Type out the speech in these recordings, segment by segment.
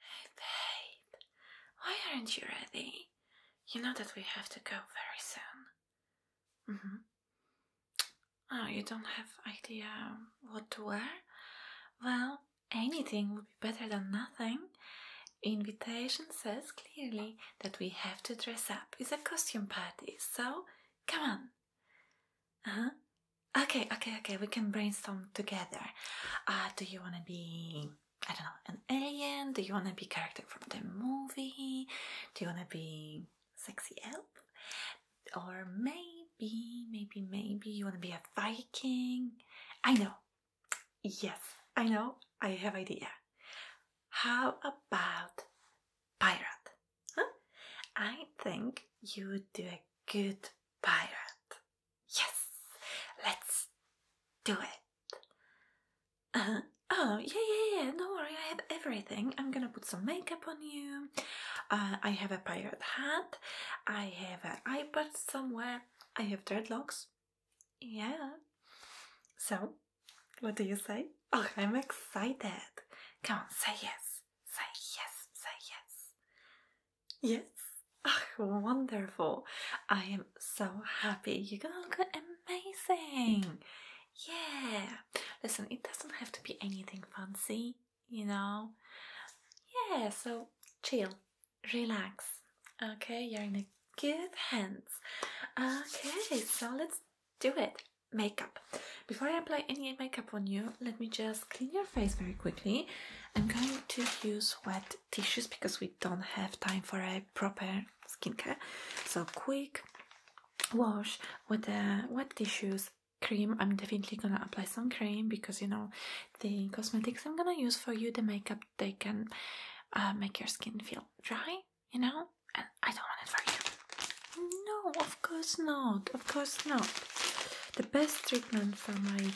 Hey babe, why aren't you ready? You know that we have to go very soon. Mm-hmm. Oh, you don't have idea what to wear? Well, anything would be better than nothing. Invitation says clearly that we have to dress up. It's a costume party, so come on. Uh -huh. Okay, okay, okay. We can brainstorm together. Uh, do you want to be, I don't know, an alien? Do you want to be character from the movie? Do you want to be sexy elf? Or maybe, maybe, maybe you want to be a Viking? I know. Yes, I know. I have idea. How about pirate? Huh? I think you would do a good pirate. Yes, let's do it. Uh-huh. oh, yeah, yeah, yeah, no worry, I have everything. I'm gonna put some makeup on you. Uh, I have a pirate hat. I have an iPad somewhere. I have dreadlocks. Yeah. So, what do you say? Oh, I'm excited. Come on, say yes. Say yes, say yes. Yes. Oh, wonderful. I am so happy. You are gonna look amazing. Yeah. Listen, it doesn't have to be anything fancy, you know? Yeah, so chill, relax. Okay, you're in good hands. Okay, so let's do it. Makeup. Before I apply any makeup, on you, let me just clean your face very quickly. I'm going to use wet tissues because we don't have time for a proper skincare. So, quick wash with the wet tissues cream i'm definitely gonna apply some cream because you know the cosmetics i'm gonna use for you the makeup they can uh, make your skin feel dry you know and i don't want it for you no, of course not. Of course not. The best treatment for my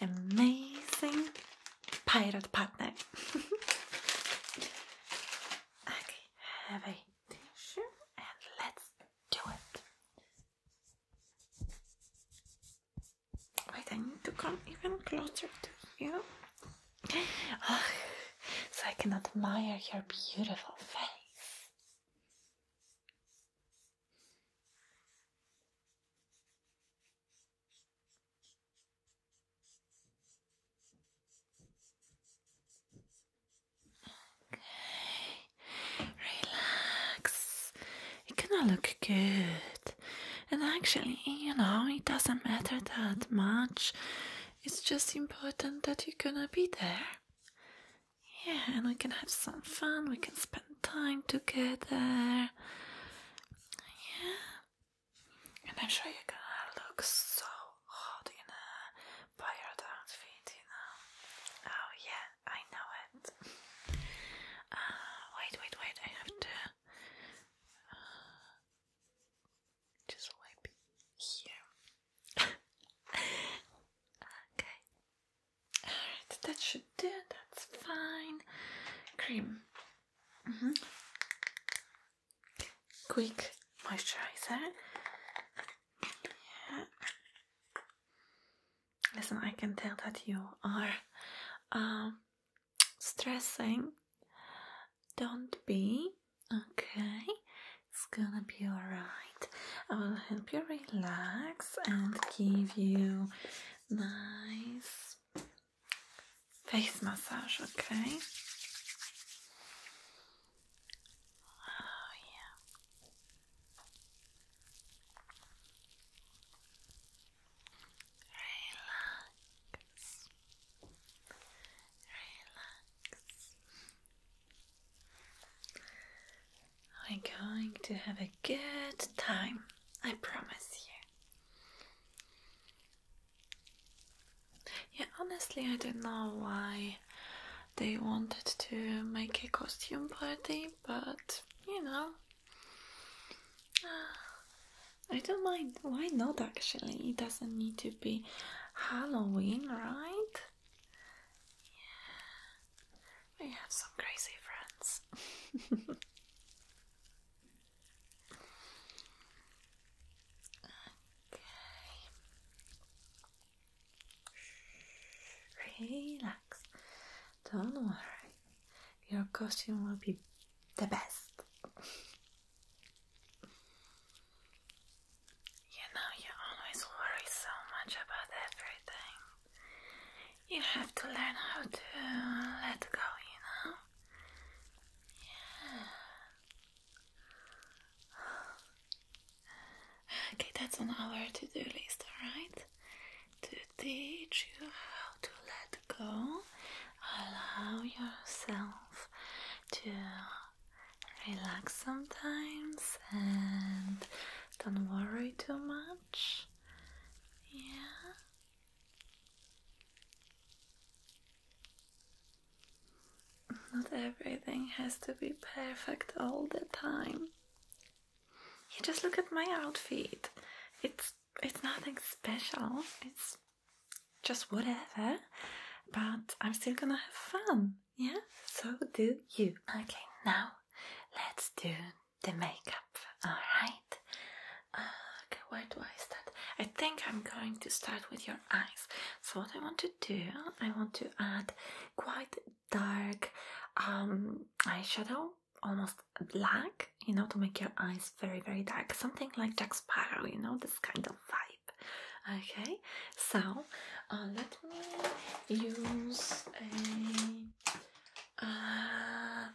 amazing pirate partner. okay, have a tissue and let's do it. Wait, I need to come even closer to you. so I can admire your beautiful face. Okay, relax. It gonna look good. And actually, you know, it doesn't matter that much. It's just important that you're gonna be there. Yeah, and we can have some fun, we can spend time together. Yeah. And I'm sure you're gonna look so hot in a pirate outfit, you know. Oh yeah, I know it. Uh, wait, wait, wait, I have to uh, just wipe here okay. Alright, that should do. That's fine. Cream. Mm -hmm. Quick moisturizer. Yeah. Listen, I can tell that you are um, stressing. Don't be. Okay. It's gonna be alright. I will help you relax and give you nice face massage, okay? Oh, yeah. Relax. Relax. We're going to have a good time, I promise you. Yeah, honestly, I don't know why they wanted to make a costume party, but you know, ah, I don't mind. Why not actually? It doesn't need to be Halloween, right? Yeah. We have some crazy friends. okay. Relax. Don't worry. Your costume will be the best. You know, you always worry so much about everything. You have to learn how to let go, you know? Yeah. Okay, that's on our to do list, alright? To teach you how to let go, allow yourself to relax sometimes and don't worry too much. Yeah. Not everything has to be perfect all the time. You just look at my outfit. It's it's nothing special. It's just whatever. But I'm still gonna have fun. Yeah, so do you. Okay, now let's do the makeup. Alright. Uh, okay, where do I start? I think I'm going to start with your eyes. So, what I want to do, I want to add quite dark um, eyeshadow, almost black, you know, to make your eyes very, very dark. Something like Jack Sparrow, you know, this kind of vibe. Okay, so uh, let me use a uh,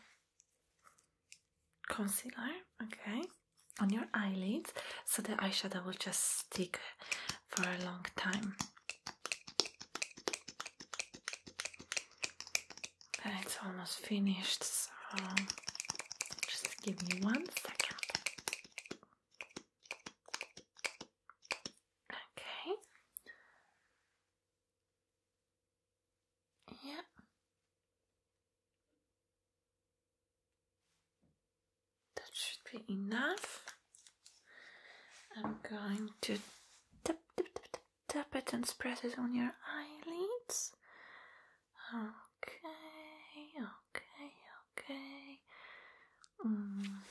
concealer, okay, on your eyelids so the eyeshadow will just stick for a long time. And it's almost finished, so just give me one second. Okay. Yeah. That should be enough. I'm going to tap, tap, tap, tap, tap it and spread it on your eyelids Okay, okay, okay. Mm.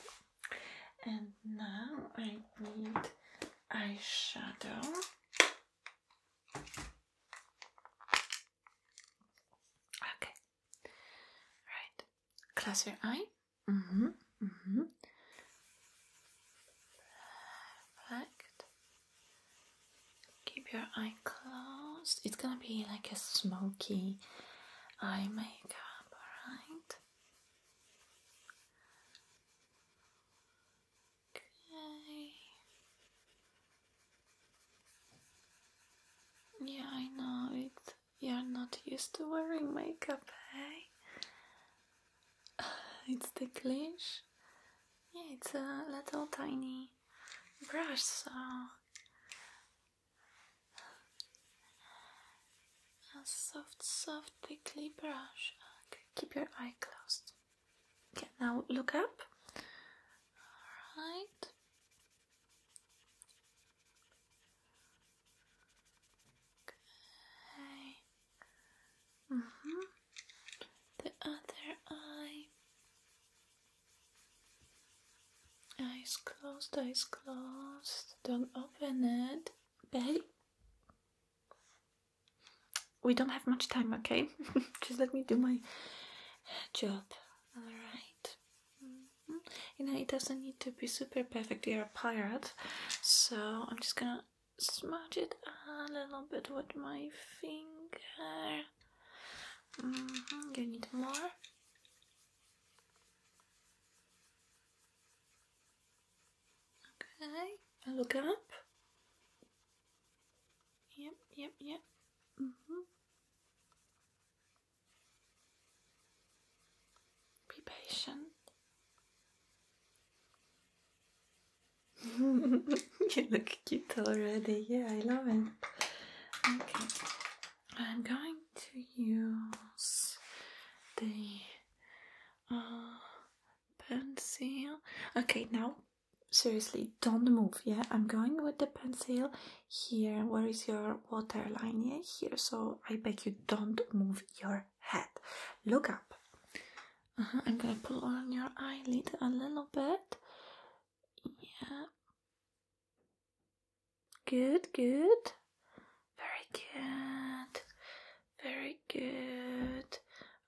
And now I need eyeshadow. Okay. Right. Close your eye. hmm hmm Perfect. Keep your eye closed. It's gonna be like a smoky eye makeup, alright? Okay. Yeah, I know it. You're not used to wearing makeup, hey? Eh? It's the glitch. Yeah, it's a little tiny brush, a soft, soft, quickly brush. keep your eye closed. Okay, now look up. All right. Okay. Mhm. Mm the other eye. Eyes closed, eyes closed. Don't open it. Babe. We don't have much time, okay? Just let me do my job. Alright. Mm-hmm. You know, it doesn't need to be super perfect. You're a pirate. So I'm just gonna smudge it a little bit with my finger. Mm you need more. Okay, I look up. Yep, yep, yep. -hmm. Be patient. you look cute already. Yeah, I love it. Okay, I'm going to use the uh, pencil. Okay, now seriously, don't move. Yeah, I'm going with the pencil here. Where is your waterline? Yeah, here. So I beg you, don't move your head. Look up. Uh-huh, I'm gonna pull on your eyelid a little bit. Yeah. Good, good. Very good. Very good.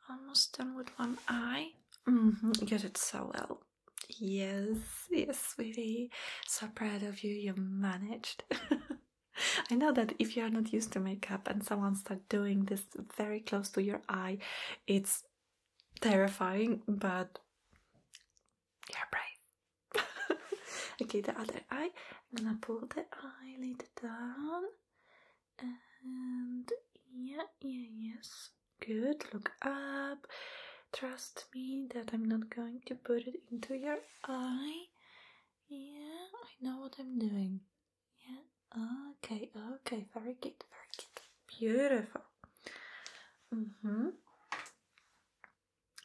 Almost done with one eye. Mm -hmm. You so well. Yes, yes, sweetie. So proud of you. You managed. I know that if you are not used to makeup and someone start doing this very close to your eye, it's terrifying, but you're brave. okay, the other eye. I'm gonna pull the eyelid down. And yeah, yeah, yes. Good. Look up. Trust me that I'm not going to put it into your eye. Yeah, I know what I'm doing. Yeah. Okay. Okay. Very good. Very good. Beautiful. hmm.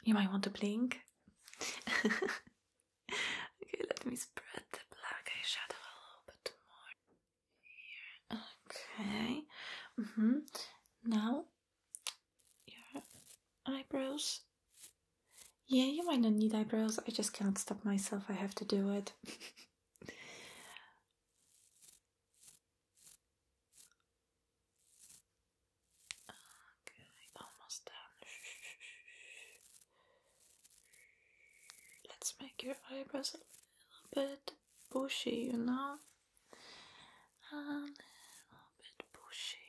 You might want to blink. okay. Let me spread the black eye shadow a little bit more here. Okay. Mm hmm. Now your eyebrows. Yeah, you might not need eyebrows. I just cannot stop myself. I have to do it. Okay, almost done. Let's make your eyebrows a little bit bushy, you know? A little bit bushy.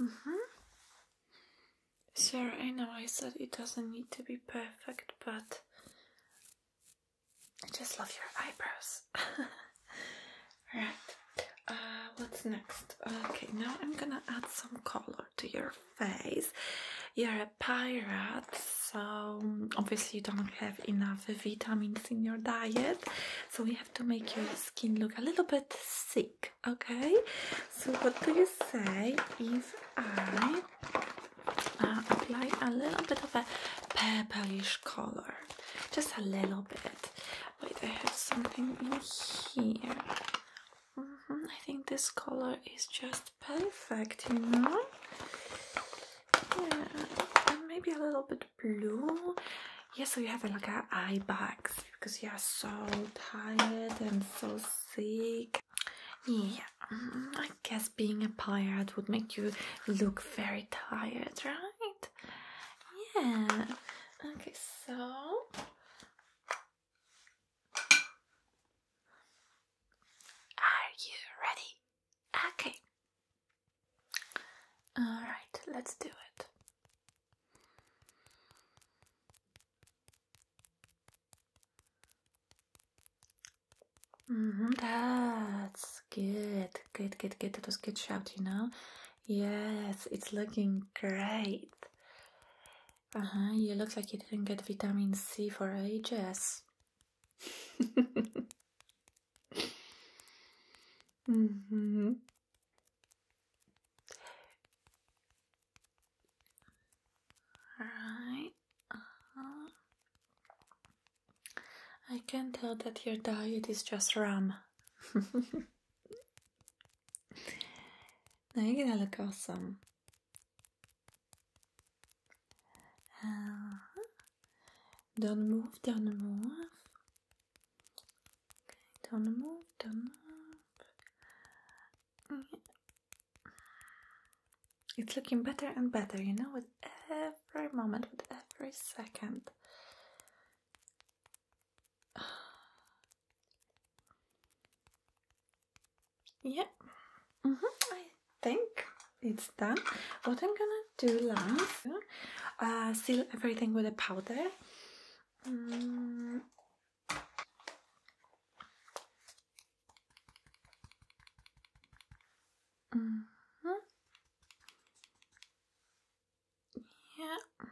Mm hmm Sure, I know I said it doesn't need to be perfect, but I just love your eyebrows. right. Uh, what's next? Okay, now I'm gonna add some color to your face. You're a pirate, so um, obviously you don't have enough vitamins in your diet, so we have to make your skin look a little bit sick, okay? So, what do you say if I uh, apply a little bit of a purplish color? Just a little bit. Wait, I have something in here. Mm-hmm. I think this color is just perfect, you know? Yeah, maybe a little bit blue. Yeah, so you have a like an eye bags because you are so tired and so sick. Yeah, mm, I guess being a pirate would make you look very tired, right? Yeah. Okay, so are you ready? Okay. All right, let's do it. Mm-hmm. that's good. Good, good, good. That was good shout, you know. Yes, it's looking great. Uh huh, you look like you didn't get vitamin C for ages. mm hmm. Right. Uh -huh. I can tell that your diet is just ram. now you're gonna look awesome. Uh, uh-huh. do move, don't move. Okay, do move, don't move. It's looking better and better, you know, with every moment, with every second. yeah mm -hmm. I think it's done what I'm gonna do last uh, seal everything with a powder mm. -hmm. Yeah.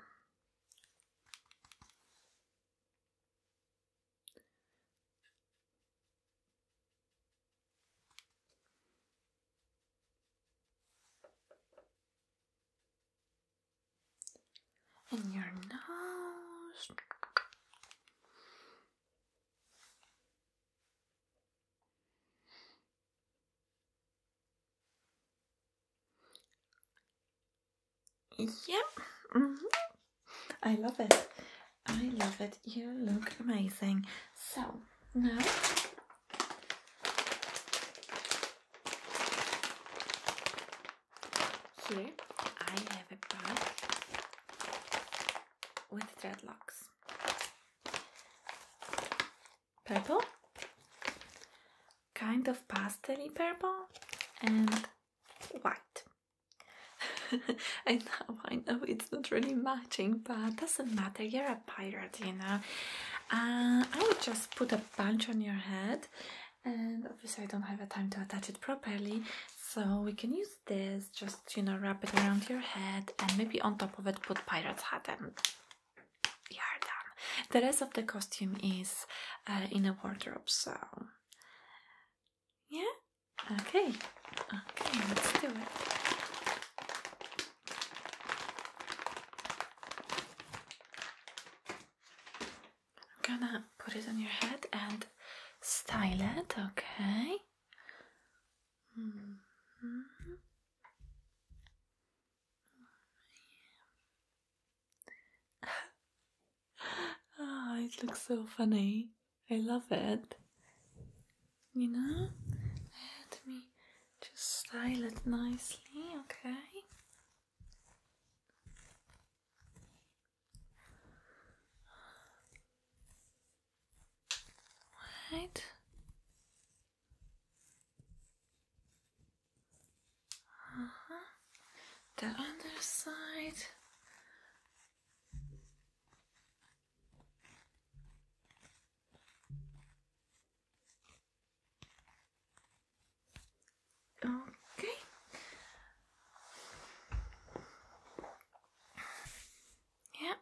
And your nose. Yep. Mm-hmm. I love it. I love it. You look amazing. So, now here I have a bag with dreadlocks purple, kind of pastel purple, and white. I know, I know it's not really matching, but doesn't matter, you're a pirate, you know. Uh, I would just put a bunch on your head, and obviously, I don't have a time to attach it properly, so we can use this, just you know, wrap it around your head, and maybe on top of it, put pirate hat and Yardam. The rest of the costume is uh, in a wardrobe, so yeah. Okay. Okay, let's do it. I'm gonna put it on your head and style it. Okay. Mm-hmm. Ah, it looks so funny. I love it. You know? Let me just style it nicely, okay? Right. Uh -huh. The other side. Okay. Yeah.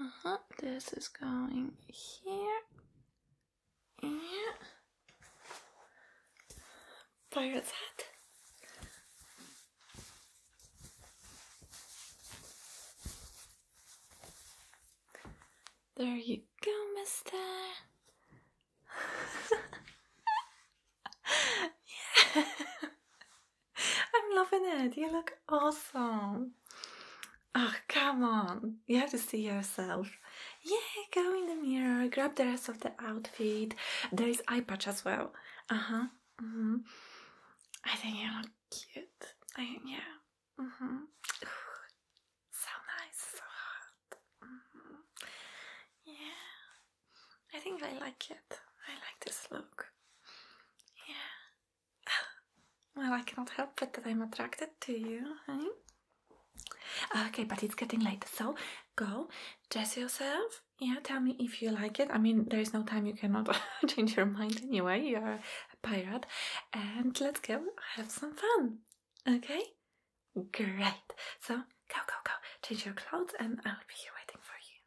Uh huh. This is going here. Yeah. Pirate's There you go, mister. I'm loving it. You look awesome. Oh, come on. You have to see yourself. Yeah, go in the mirror, grab the rest of the outfit. There is eye patch as well. Uh huh. Mm-hmm. I think you look cute. I, yeah. Mm -hmm. so nice, mm-hmm. Yeah. I think I like it. I like this look. Yeah. Well, I cannot help but that I'm attracted to you, Okay, but it's getting late, so go dress yourself. Yeah, tell me if you like it. I mean, there is no time you cannot change your mind anyway. You are a pirate. And let's go have some fun. Okay? Great. So go, go, go. Change your clothes, and I'll be here waiting for you.